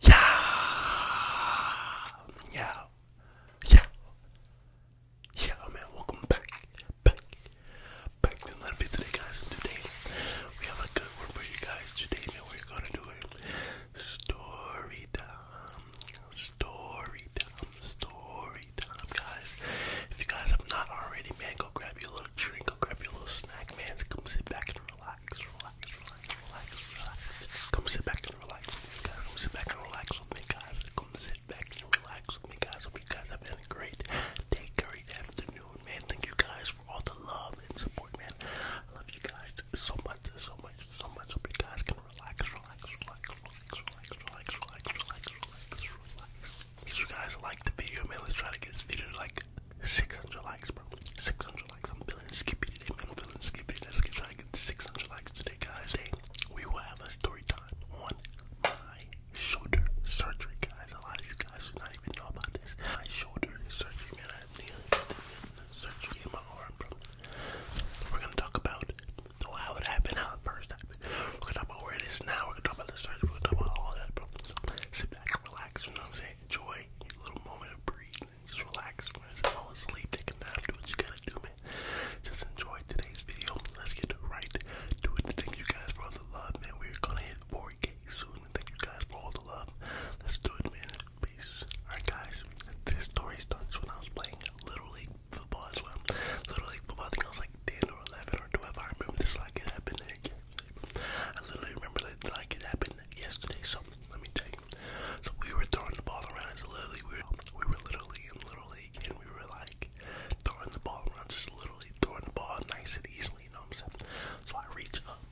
Yeah, yeah, yeah, yeah, oh, man. Welcome back, back, back another video today, guys. And today we have a good one for you guys. Today, we're gonna do a story time, story time, story time, guys. If you guys have not already, man, go grab your little drink, go grab your little snack, man. Come sit back and relax. Come sit back and relax guys. Come sit back and relax me, guys. Come sit back and relax me, guys. Hope guys have been great day, great afternoon, man. Thank you guys for all the love and support, man. I love you guys so much, so much, so much. Hope you guys can relax, relax, relax, relax, relax, relax, relax, relax, relax, Make sure you guys like the video, man. Let's try to get this video like 600 likes, bro. 600 likes. I'm feeling skippy today, man. I'm feeling skippy. Let's get try to get 600 likes today, guys. Hey, we will have a story time on my shoulder surgery, guys. A lot of you guys do not even know about this. My shoulder surgery, man. I have nail surgery in my arm, bro. We're gonna talk about how it happened, how it first happened. We're gonna talk about where it is now. We're gonna talk about the surgery. We're gonna talk about all that, bro. So sit back and relax. You know what I'm saying? Enjoy your little moment of breeze. Just relax, guys. Fall asleep, take a nap, do what you gotta do, man. Just enjoy today's video. Let's get right to it. Thank you guys for all the love, man. We're gonna hit 4K soon. Thank you guys for all the love. Let's do it, man. Peace. Alright, guys. This story starts when I was playing Little League football as well. Little League football, I think I was like 10 or 11 or 12. I remember this like it happened. I literally remember that like it happened yesterday, so let me tell you. So we were throwing the ball around. It's literally we were, we were literally in Little League and we were like throwing the ball around, just literally throwing the ball nice and easily, you know what I'm saying? So I reach up,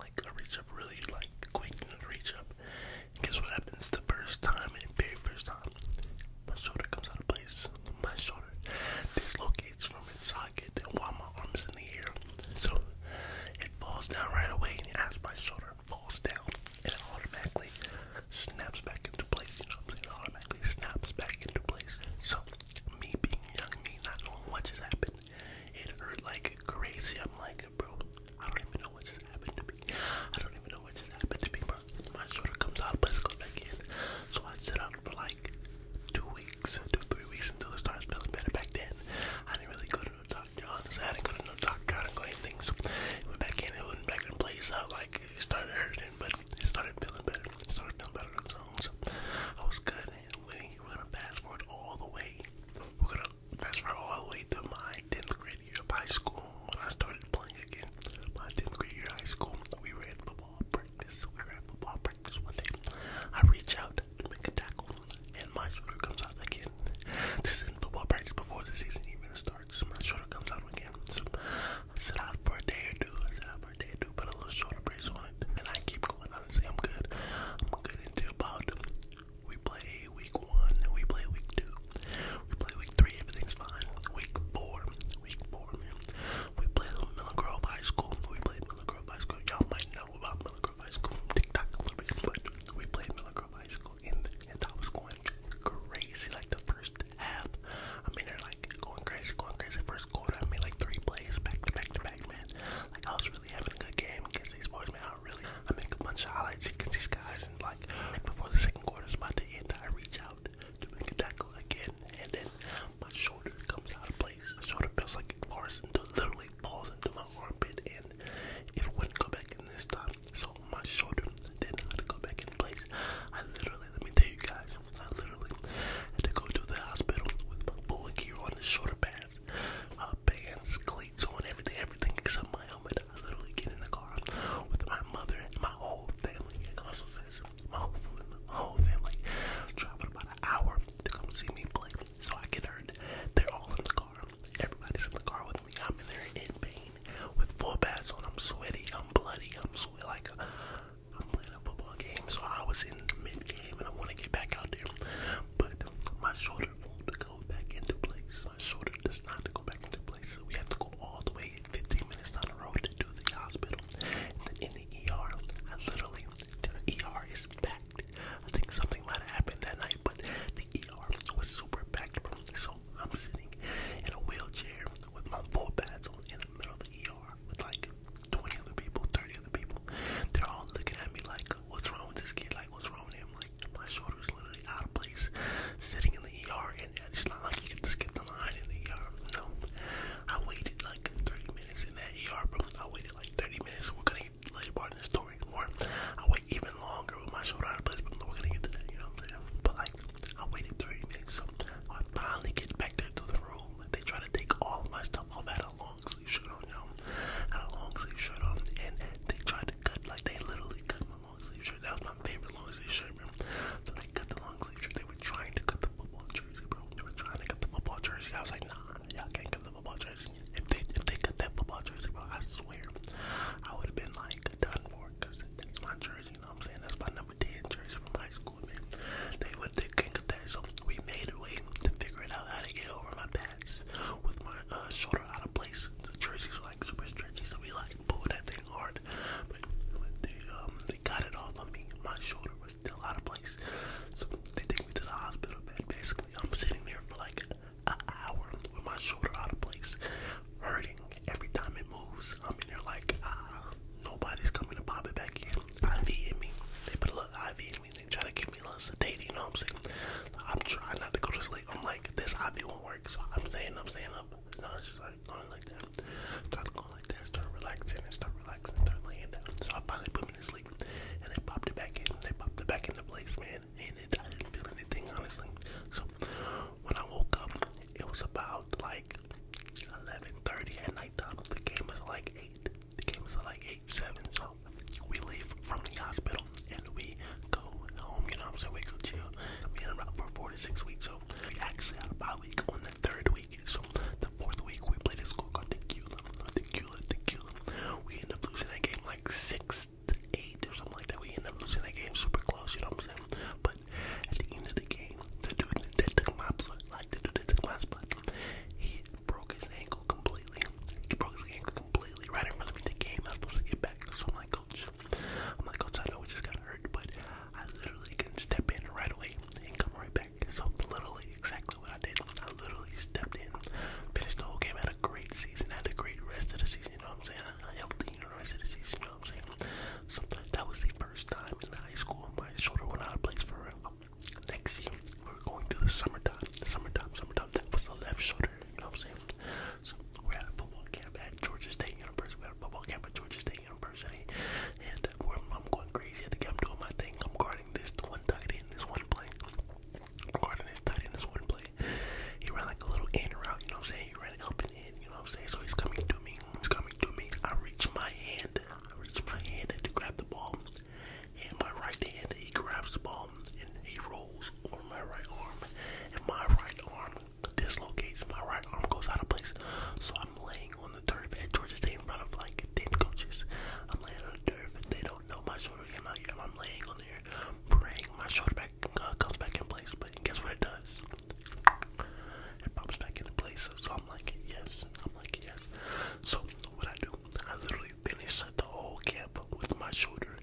like I reach up really like quick and I reach up. Guess what happens the first time and very first time? My shoulder comes out of place. My shoulder dislocates from its socket it while my arm is in the air. So it falls down right away and as my shoulder falls down and it automatically snaps back into place. You know what I'm saying? It automatically snaps back into place. So me being young, me not knowing what just happened, it hurt like crazy. I'm like, bro, I don't even know what just happened to me. I don't even know what just happened to me, bro. My shoulder comes out, but it goes back in. So I sit out for like two two, three weeks until it starts feeling better. Back then, I didn't really go to no doctor. I didn't go to no doctor. I didn't go anything. went back in, it went back in place. I like it started hurting, but it started feeling better. started feeling better on its own. So I was good. And we, we fast forward all the way. We're fast forward all the way to my 10th grade year of high school when I started playing again. My 10th grade year of high school, we were football practice. We were football practice one day. I reach out to make a tackle, and my shoulder comes out again. This is in football practice before the season even starts. My shoulder comes out again. So I sit out for a day or two. I sit out for a day or two, put a little shoulder brace on it, and I keep going. Honestly, I'm good. I'm good until about we play week one, we play week two, we play week three. Everything's fine. Week four, week four, man. We play Miller Grove High School. We played Miller Grove High School. Y'all might know about Millcroft High School from TikTok a little bit, but we played Millcroft High School and, I was going crazy like the first half. I mean, they're like going crazy, going crazy. First quarter, I made like three plays back to back to back, man. Like, I was really having a good game against these boys, man. I really, I make a bunch of highlights against these guys, and like, before the second quarter's about to end, I reach out to make a tackle again, and then my shoulder comes out of place. My shoulder feels like it falls into, literally falls into my armpit, and it wouldn't go back in this time. So my shoulder did not go back in place. I literally, let me tell you guys, I literally had to go to the hospital with my full gear on, the shoulder pads, uh, bands, cleats on, everything, everything except my helmet. I literally get in the car with my mother and my whole family. And also, my whole, my whole family traveled about an hour to come see me play so I get hurt. They're all in the car. Everybody's in the car with me. I'm in there in pain with four pads on. I'm sweaty. I'm bloody. I'm sweaty. Like a, I'm playing a football game, so I was in mid game and I want to get back out there, but my shoulder won't go back into place. My shoulder does not go back into place. So we have to go all the way 15 minutes down the road to the hospital. then in the ER, I literally the ER is packed. I think something might have happened that night, but the ER was super packed, So I'm sitting in a wheelchair with my full pads on in the middle of the ER with like 20 other people, 30 other people. They're all looking at me like, what's wrong with this kid? Like, what's wrong with him? Like, my shoulder's literally out of place. Sitting in the ER, and it's not like you can just skip the line in the ER. No. I waited like 30 minutes in that ER room. I waited like 30 minutes. We're gonna get later part in the story. Or I wait even longer with my shoulder out of place, but we're gonna get to you know But like, I waited 30 minutes. So I finally get back there to the room. They try to take all of my stuff off. I had a long sleeve shirt on, you know? I had a long sleeve shirt on, and they tried to cut, like, they literally cut my long sleeve shirt. That was my favorite long sleeve shirt, man. So they cut the long sleeve shirt. They were trying to cut the football jersey, bro. They were trying to get the football jersey. I was like, nah, y'all can't get the football jersey. If they if they got that football jersey, bro, I swear, I would have been like done for, cause that's my jersey. You know what I'm saying? That's my number ten jersey from high school, man. They would they can't get that, so we made a way to figure it out how to get over my pads with my uh, shoulder out of place. The jersey's were, like super stretchy, so we like pulled that thing hard, but, but they um they got it off on me, my shoulder was still out of place. So they take me to the hospital bed. Basically, I'm sitting there for like an hour with my shoulder out of place, hurting every time it moves. I'm in there like, ah, nobody's coming to pop it back in. IV in me. They put a little IV in me. They try to give me a little sedated, you know what I'm saying? I'm trying not to go to sleep. I'm like, this IV won't work. So I'm staying up, staying up. No, it's just like going like that. Trying to go all like that, start relaxing and start relaxing, start laying down. So I finally put me to sleep and they popped it back in. They popped it back into place, man. And it, I didn't feel anything, honestly. So when I woke up, it was about like 11.30 at night time. The game was like 8. The game was like 8, 7. So we leave from the hospital and we go home, you know what I'm saying? We go chill. I'm in about for 4 to 6 weeks. So we actually had a bye week on the third so the fourth week we played a school called Tequila. We ended up losing that game like six eight or something like that. We end up losing that game super close, you know what I'm saying? But at the end of the game, the dude that took my spot, like the dude that took my spot, he broke his ankle completely. He broke his ankle completely right in front of the game. I was supposed to get back. So I'm like, coach, I'm like, coach, I know we just got hurt, but I literally can step in right away and come right back. So literally exactly what I did. I literally stepped in, finished the whole game, had a great season, had a great rest of the season, you know what I'm saying? A healthy you know, of the you know what I'm saying? So that was the first time in high school my shoulder went out of place for real. Next year, we were going to the summertime. summertime, summertime, that was the left shoulder, you know what I'm saying? So we're a football camp at Georgia State University. We're a football camp at Georgia State University and I'm going crazy. I think I'm doing my thing. I'm guarding this one tight end, this one play. i guarding this tight end, this one play. He ran like a little in route, you know what I'm saying? He ran up and in, you know what I'm saying? So he's coming to me. He's coming to me. I reach my hand. I reach my hand to grab the ball. And my right hand, he grabs the ball and he rolls over my right arm. And my right arm dislocates. My right arm goes out of place. So I'm laying on the turf at Georgia State in front of like 10 coaches. I'm laying on the turf. They don't know my shoulder came out yet. I'm laying on there, praying my shoulder back uh, comes back in place. But guess what it does? It pops back into place. So, so I'm like, yes. I'm like, yes. So what I do, I literally finish the whole camp with my shoulder.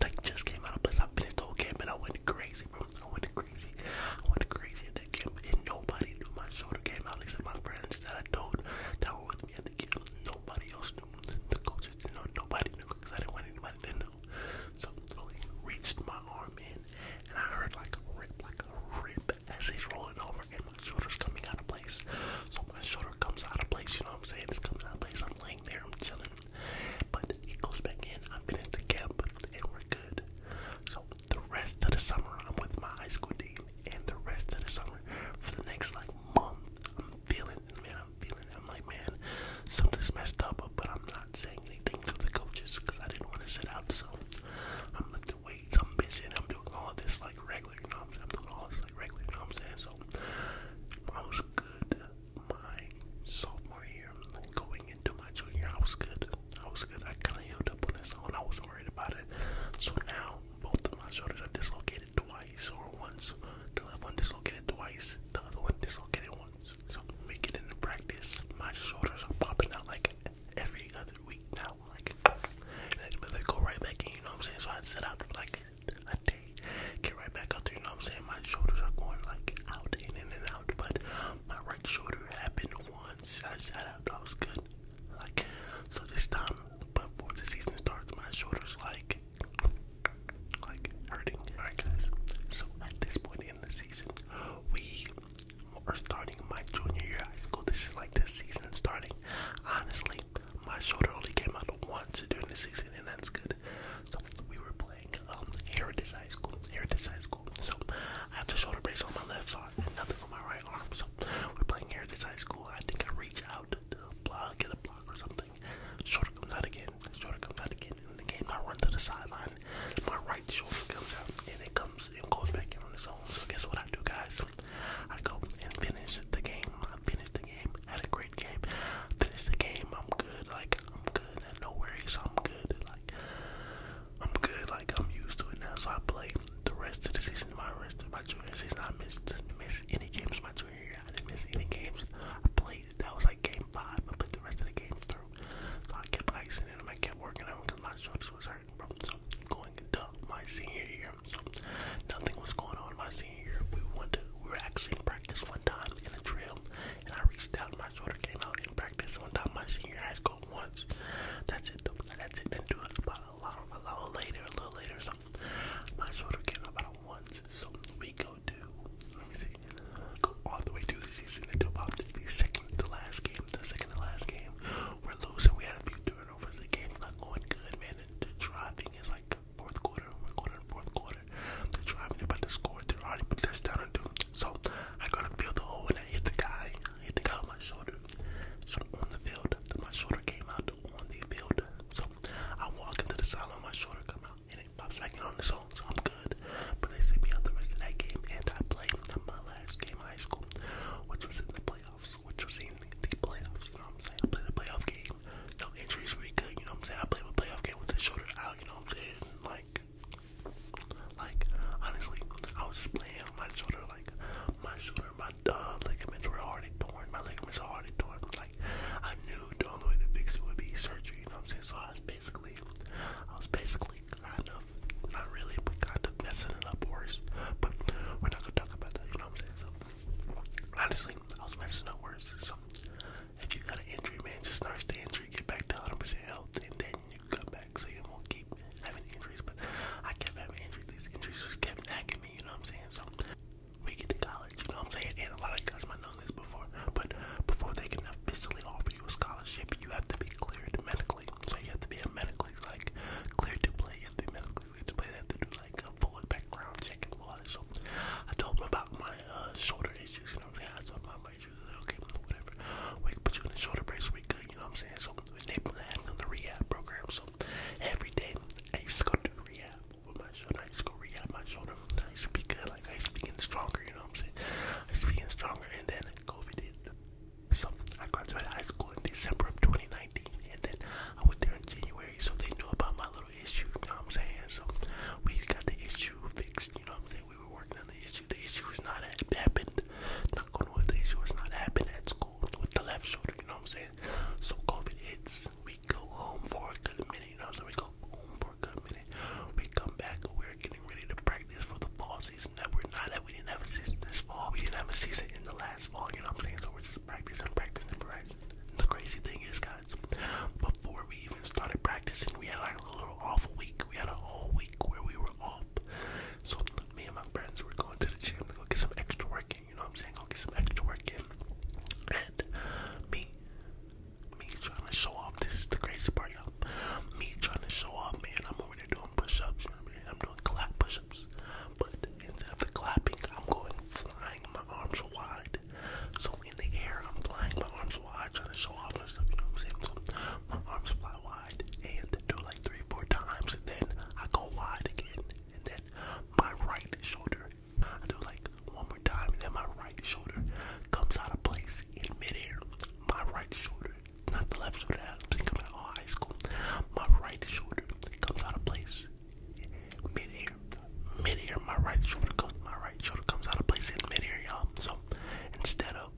That just came out of place. I finished the whole camp and I went crazy, bro. I went crazy. I went crazy nobody knew my shoulder came out except my friends that I told that were with me at the game. Nobody else knew. The coaches didn't know. Nobody knew because I didn't want anybody to know. So he reached my arm in and I heard like a rip, like a rip as he's rolling over and my shoulder's coming out of place. So my shoulder comes out of place, you know what I'm saying? It's coming out of place. I'm laying there, I'm chilling. But he goes back in, I'm in the camp, and we're good. So the rest of the summer, I'm with my high school team, and the rest of the summer, for the next like month, I'm feeling, man, I'm feeling. I'm like, man, something's messed up, but I'm not saying anything to the coaches because I didn't want to sit out. So I'm lifting weights, I'm bitching, I'm doing all of this like regular. You know I'm doing all this like regular. You know what I'm saying? So I was good. My sophomore year, going into my junior, year, I was good. I was good. I kind of healed up on its own. I was worried about it. So now both of my shoulders are dislocated twice or once. The left one dislocated twice. The other one dislocated once. So make it into practice. My shoulders are popping out like every other week now. Like, but they go right back in. You know what I'm saying? So I sit out for like a day, get right back out there. You know what I'm saying? My shoulders are going like out in and out. But my right shoulder happened once. I sat out. I was good. Like, so this time, before the season starts, my shoulders like, like hurting. Alright, guys. So at this point in the season, we are starting my junior year high school. This is like this season starting. Honestly, my shoulder only came out once during the season, and that's good. So we were playing um, Heritage High School. Heritage High School. So I have the shoulder brace on my left side nothing on my right we're playing Heritage High School. I think I reach out to the block, get a block or something. Shorter comes out again. Shorter comes out again. In the game, I run to the sideline. My right shoulder comes out, and it comes and goes back in on its own. So guess what I do, guys? I go and finish the game. I finish the game. Had a great game. Finish the game. I'm good. Like I'm good. Had no worries. I'm good. Like like I'm good, like I'm used to it now. So I play the rest of the season, my rest of my junior season. I missed miss any games my junior year. I didn't miss any games. I played that was like game five. I put the rest of the games through. So I kept icing it and I kept working on because my shoulders was hurting, bro. So going into my senior year, so nothing was going on my senior year. We went to we were actually in practice one time in a drill, and I reached out. My shoulder came out in practice one time my senior high school once. That's it That's it. Then do it about a lot a little later, a little later or My shoulder came about once, so we go to let me see. Go all the way through the season until the second to last game, the second to last game. We're losing, we had a few turnovers, the game's not going good, man. The driving is like fourth quarter, we're going to fourth quarter. they driving about to score, they're already put touchdown and do. So I gotta feel the hole and I hit the guy hit the on my shoulder. So on the field, my shoulder came out on the field. So I walk into the sideline, my shoulder come out, and it pops back on its own. So I'm good. But they see me out the rest of that game, and I played my last game high school, which was in the playoffs, which was in the playoffs. You know what I'm saying? I played the playoff game. No injuries were good. You know what I'm saying? I played a playoff game with the shoulder out. You know what I'm saying? Like like, honestly, I was playing on my shoulder, like, my shoulder, my uh, ligaments were already torn, my ligaments are already torn. Like, I knew the only way to fix it would be surgery, you know what I'm saying? So I was basically, I was basically kind of, not really, but kind of messing it up worse. But we're not gonna talk about that, you know what I'm saying? So, honestly, I was messing up worse. So, if you got an injury, man, just nurse the injury, get back to 100% health, and then you come back back, so you won't keep having injuries. But I kept having injuries. These injuries just kept nagging me, you know what I'm saying? So we get to college, you know what I'm saying? And a lot of guys might know this before, but before they can officially offer you a scholarship, you have to be cleared medically. So you have to be medically like cleared to play. You have to be medically cleared to play. They have to do like a full background check and all that. So I told them about my uh, shoulder issues, you know what I'm saying? I told them about uh, okay, whatever. We can put you in the shoulder brace, we good, you know what I'm saying? So it's neighborhood having on the rehab program. So every day I used to go to rehab with my shoulder, I used to go rehab my shoulder. I used to be good, like I used to be getting stronger, you know what I'm saying? I used to be getting stronger and then COVID hit. So I graduated high school in December of 2019 and then I went there in January so they knew about my little issue, you know what I'm saying? So we got the issue fixed, you know what I'm saying? We were working on the issue. The issue is not happened knock on wood, the not happening at school with the left shoulder, you know what I'm saying? So COVID hits, we go home for a good minute, you know what I'm saying? We go home for a good minute. We come back, we're getting ready to practice for the fall season that we're not that We didn't have a season this fall, we didn't have a season in the last fall, you know what I'm saying? So we're just practicing, practicing, practicing. The crazy thing is, guys, before we even started practicing, we had like a little awful week. We had a whole week where we were were off. So me and my friends were going to the gym to go get some extra work in, you know what I'm saying? I'll get some extra work in. And me, me trying to show off, this is the crazy part, y'all. Me trying to show off, man, I'm already doing push-ups, I am doing clap push-ups. But instead of the clapping, I'm going flying my arms wide. So in the air, I'm flying my arms arms wide, trying to show off and stuff, you know what I'm saying? So my arms fly wide and do like three, four times, and then I go wide again, and then my right shoulder, I do like one more time, and then my right shoulder comes out of place in midair. My right shoulder, not the left shoulder, I'm thinking about all high school. My right shoulder comes out of place midair. Midair, my right shoulder comes, my right shoulder comes out of place in midair, y'all. So instead of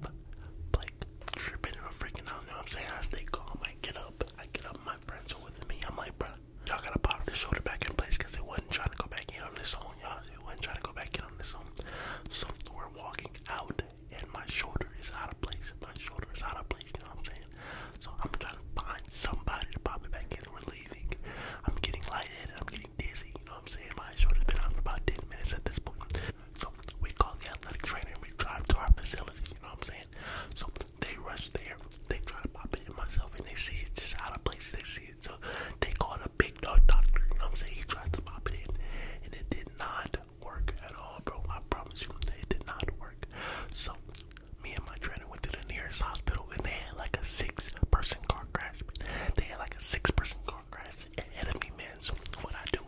like tripping or freaking out, you know what I'm saying? I stay calm, I get up, I get up, my friends are with me. I'm like, bro, y'all gotta pop this shoulder back in place because it wasn't trying to go back in on this own, y'all. It wasn't trying to go back in on this own. So we're walking out and my shoulder is out of place. My shoulder is out of place, you know what I'm saying? So I'm trying to find somebody to pop it back in. We're leaving. I'm getting light headed. I'm getting dizzy, you know what I'm saying? My shoulder's been out for about 10 minutes at this point. So we call the athletic trainer and we drive to our facility, you know what I'm saying? So they rush there, they try to pop it in myself and they see it just out of place, they see it. So they called a big dog doctor, you know what I'm saying? He tried to pop it in and it did not work at all, bro. I promise you it did not work. So me and my trainer went to the nearest hospital and they had like a six person car crash. They had like a six person car ahead of me, man. So what I do,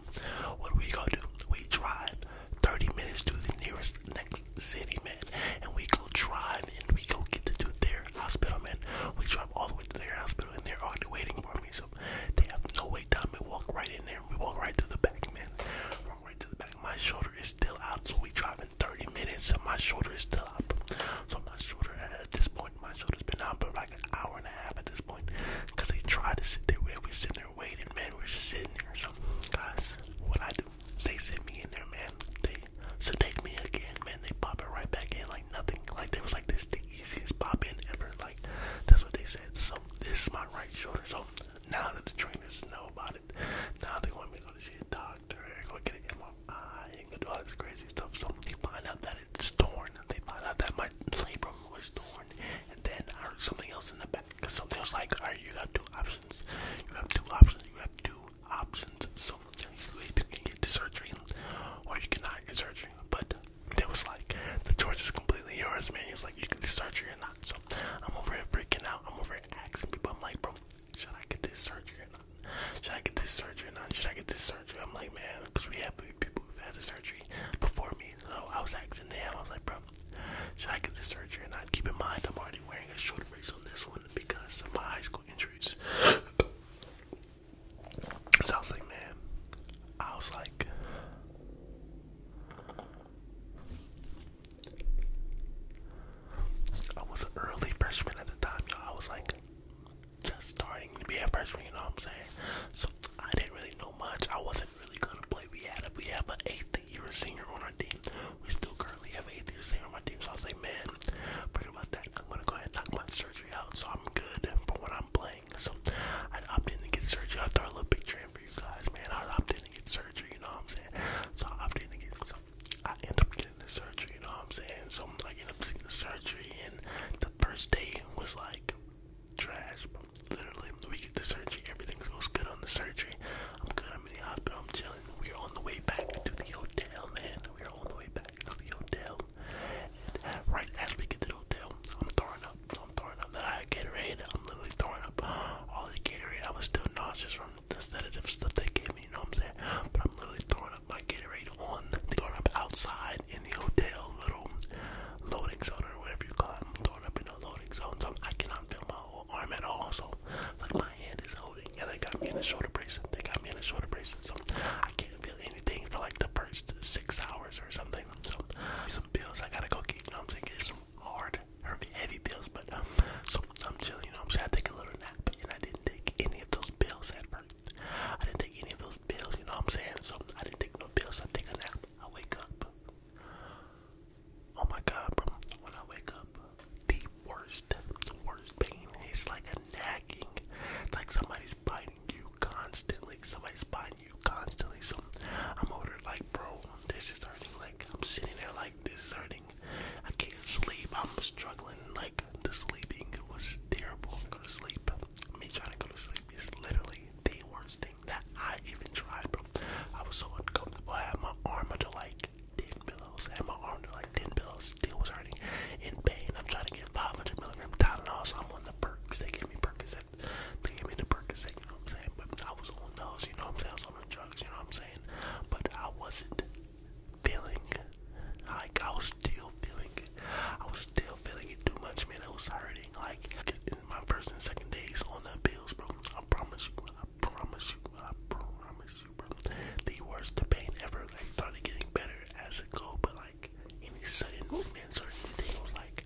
what we go do? We drive 30 minutes to the nearest next city, man. And we go drive and we go get to their hospital, man. We drive all the way to their hospital and they're already waiting for me. So they have no way down. We walk right in there. We walk right to the back, man. Walk right to the back. My shoulder is still out. So we drive in 30 minutes and my shoulder is still up. So my shoulder at this point, my shoulder's been out, but like an hour and a half at this point they tried to sit there. We sitting there waiting, man. We're just sitting there. So, guys, what I do, they sit me in there, man. They sedate me again, man. They pop it right back in like nothing. Like, they was like, this is the easiest pop in ever. Like, that's what they said. So, this is my right shoulder. So, now that the trainers know about it, now they want me to go to see a doctor, go get it in and go do all this crazy stuff. So, they find out that it's torn. They found out that my labrum was torn, and then I heard something else in the back. So they was like, all right, you have two options. You have two options. You have two options. So you either can get surgery, or you cannot get surgery. But they was like, the choice is completely yours, man. You was like, you can get surgery or not. So I'm over here freaking out. I'm over here asking people. I'm like, bro, should I get this surgery or not? Should I get this surgery or not? Should I get this surgery? I'm like, man, because we have people who've had the surgery before me. So I was asking them, I was like, bro, should I get the surgery? And I keep in mind, I'm already wearing a shoulder brace on this one because of my high school injuries. so I was like, man, I was like, I was an early freshman at the time, I was like, just starting to be a freshman, you know what I'm saying? So I didn't really know much. I wasn't really gonna play. We had a we have an eighth year senior on our team. We still currently have an eighth year senior on my team. So I was like, man, forget about that. I'm gonna go ahead and knock my surgery out, so I'm good for what I'm playing. So I opted in to get surgery. I throw a little picture in for you guys, man. I opted in to get surgery. You know what I'm saying? So I opted in to get. So I end up getting the surgery. You know what I'm saying? So I end up seeing the surgery and the first day was like trash. Literally, we get the surgery, everything goes good on the surgery. I'm good, I'm in the hospital, I'm chilling. We're on the way back to the hotel, man. We're on the way back to the hotel. And right as we get to the hotel, I'm throwing up. I'm throwing up. I had Gatorade. I'm literally throwing up all the Gatorade. I was still nauseous from the sedative stuff they gave me, you know what I'm saying? But I'm literally throwing I up my Gatorade on throwing up outside in the hotel little loading zone or whatever you call it. I'm throwing up in the loading zone, so I cannot feel my whole arm at all. So like my hand is holding, and yeah, they got me in a shoulder brace. They got me in a shoulder brace, so I can't feel anything for like the first six hours or something. So some pills I gotta go get. You know what I'm saying? It's some hard, heavy pills, but so I'm chilling. You know what I'm saying? I take a little nap, and I didn't take any of those pills at first. I didn't take any of those pills, you know what I'm saying? So I didn't take no pills, I take a nap. I wake up. Oh my god, bro. When I wake up, the worst, the worst pain is like a nagging. It's like somebody's biting you constantly. Somebody's biting you constantly. So I'm over there like, bro, this is hurting. Like, I'm sitting there like, this is hurting. I can't sleep. I'm struggling. Like the sleeping was terrible. Go to sleep. Me trying to go to sleep is literally the worst thing that I even tried, bro. I was so uncomfortable. I had my arm under like 10 pillows. and my arm under like 10 pillows. Still was hurting. In pain. I'm trying to get 500 milligram Tylenol, also I'm on the perks. They gave me Percocet. They gave me the Percocet, you know what I'm saying? But I was on those, you know what I'm saying? I was on drugs, you know what I'm saying? But I wasn't feeling like I was still feeling it. I was still feeling it too much, man. It was hurting. Like in my first and second days on the pills, bro. I promise you, I promise you, I promise you, bro. The worst pain ever. Like started getting better as it go, but like any sudden movements or anything was like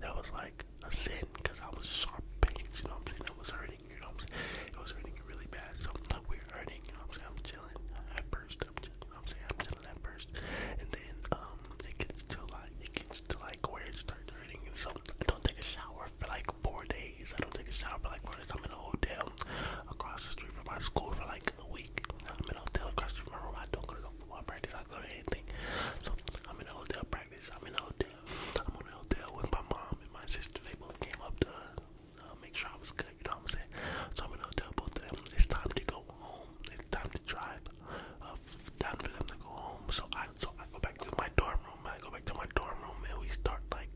that was like a sin because I was sharp pains. You know what I'm saying? That was hurting. You know I'm saying? It was hurting really bad. So we we're hurting. You know I'm saying? I'm chilling at first. I'm just, saying, I'm telling that first, and then um, it gets to like, it gets to like where it starts hurting. So I don't take a shower for like four days. I don't take a shower for like four days. I'm in a hotel across the street from my school for like a week. I'm in a hotel across the street from my don't go to football practice. I go to anything. So I'm in a hotel practice. I'm in a hotel. I'm on a hotel with my mom and my sister. They both came up to us make sure I was good, you know what I'm saying? So I'm gonna tell both of them it's time to go home. It's time to drive. Uh, time for them to go home. So I so I go back to my dorm room. I go back to my dorm room and we start like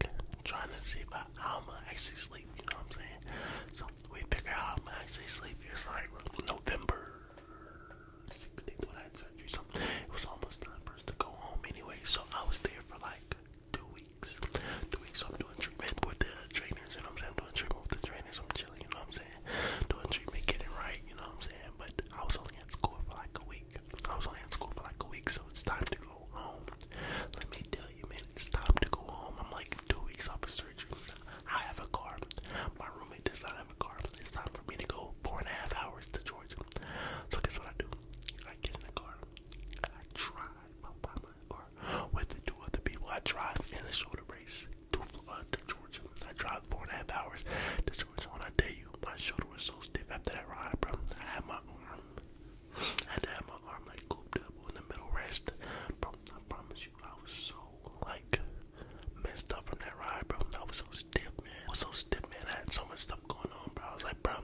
trying to see about I'm gonna actually sleep, you know what I'm saying? So we figure out I'm gonna actually sleep. It's like November 16th when I had surgery. So it was almost time for us to go home anyway. So I was there for like two weeks. Two weeks, I'm doing treatment with the trainers, you know what I'm saying? I'm doing treatment with the trainers, I'm chilling, you know what I'm saying? Doing treatment, getting right, you know what I'm saying? But I was only at school for like a week. I was only at school for like a week, so it's time to go home. Let me tell you, man, it's time to go home. I'm like two weeks off of surgery. I have a car. My roommate does not have a car. It's time for me to go four and a half hours to Georgia. So guess what I do? I get in the car. I drive. I'll buy my car with the two other people. I drive in a shoulder race to Florida, uh, to Georgia. I drive four and a half hours to Georgia. When I tell you, my shoulder was so stiff after that ride, bro. I had my arm, I had to have my arm like cooped up in the middle rest, bro. I promise you, I was so like messed up from that ride, bro. I was so stiff, man. was so stiff, man. I had so much stuff going on, bro. I was like, bro,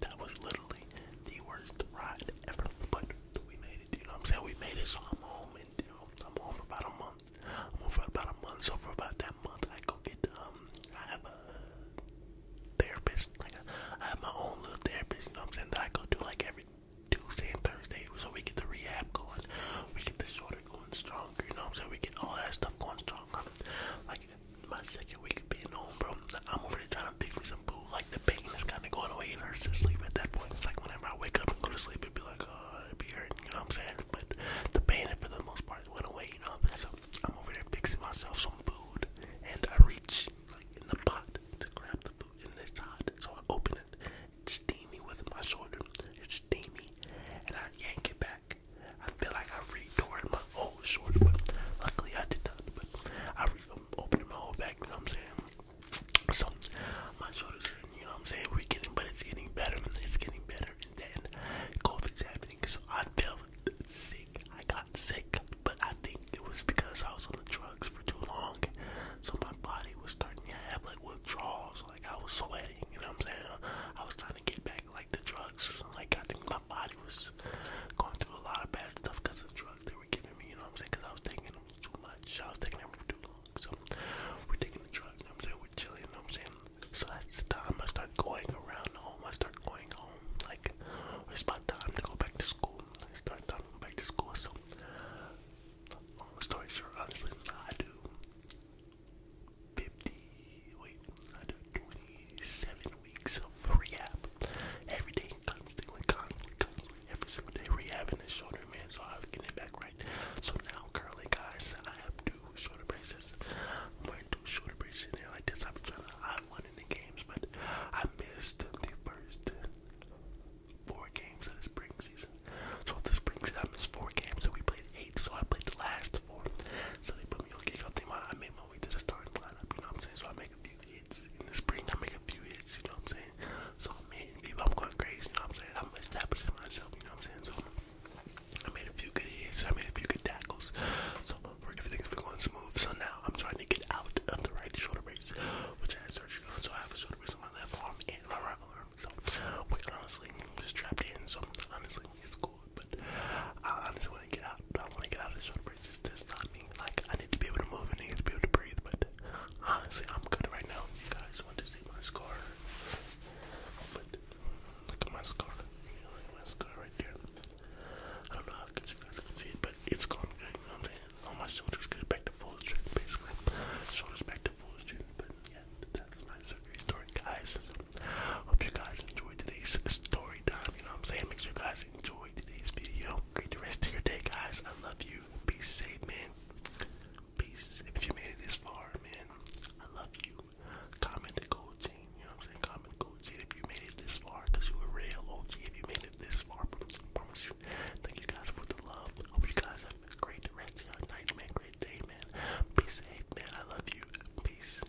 that was literally the worst ride ever. But we made it, you know what I'm saying? We made it, so I'm home and I'm home for about a month. I'm home for about a month, so for about that month I go get um I have a therapist, like a, I have my own little therapist, you know what I'm saying, I go do like every Tuesday and Thursday, so we get the rehab going, we get the shoulder going stronger, you know what I'm saying, we get all that stuff going stronger. Like my second week of being home, bro, I'm over there trying fix me some food. Like the pain is kind of going away. It hurts to sleep at that point. It's like whenever I wake up and go to sleep, it'd be like, oh, it'd be hurting. You know what I'm saying? But the pain, for the most part, went away. You know. So I'm over there fixing myself some food, and I reach like in the pot to grab the food, and it's hot. So I open it. It's steamy with my shoulder. It's steamy, and I yank it back. I feel like I restored my oh, it was short, but luckily I did not. But I re opened my whole back, you know what I'm saying? So, my shoulders you know what I'm saying? We're getting, but it's getting better, it's getting better. And then COVID's happening, so I felt sick. I got sick, but I think it was because I was on the drugs for too long. So, my body was starting to have like withdrawals, like I was sweating, you know what I'm saying? I was trying to get back like the drugs. Like, I think my body was going through a lot of bad stuff because of the drugs giving me, you know I'm saying? I was taking them too much. I was taking them for too long. So we're taking the drug, you I'm saying? We're chilling, you I'm saying? So that's the time I start going around home. I start going home. Like, it's about time to go back to school. I start going back to school. So, long story short, honestly, I do 50, wait, I do 27 weeks of rehab every day constantly, constantly, constantly, every single day rehabbing this shoulder, man. So I was getting it back right. So now, currently, guys, I have two shoulder braces. I'm wearing two shoulder braces in there like this. I've been trying to hide one in the games, but I missed the first four games of the spring season. So the spring season, I missed four games, and we played eight. So I played the last four. So they put me on kick up. They I made my way to the starting lineup. You know what I'm saying? So I make a few hits in the spring. I make a few hits, you know what I'm saying? So I'm hitting people, I'm going crazy, you know what I'm saying? I'm establishing myself, you know what I'm saying? So I made a few good hits, I made a few good tackles. So everything's been going smooth. So now I'm trying to get out of the right shoulder brace, which I had surgery on. So I have a shoulder brace on my left arm and my right arm. So, wait, honestly, I'm just trapped in. So honestly, it's cool, but I honestly want to get out. I want to get out of this breeze. It's just not me. Like I need to be able to move and I need to be able to breathe. But honestly, I'm good right now. You guys want to see my scar? But look at my scar. my scar right there. I don't know how you guys can see it, but it's going good. You know what I'm saying? All my shoulders good, back to full strength, basically. Shoulders back to full strength. But yeah, that's my surgery story, guys. Hope you guys enjoyed today's story time. You know what I'm saying? Make sure you guys enjoy today's video. Great rest of your day, guys. I love you. Be safe, man. Peace. If you made it this far, man, I love you. Comment the gold chain. You know what I'm saying? Comment the gold chain if you made it this far, you a real OG. If you made it this far, promise you. Thank you guys for the love. Hope you guys have a great rest of your night, man. Great day, man. Be safe, man. I love you. Peace.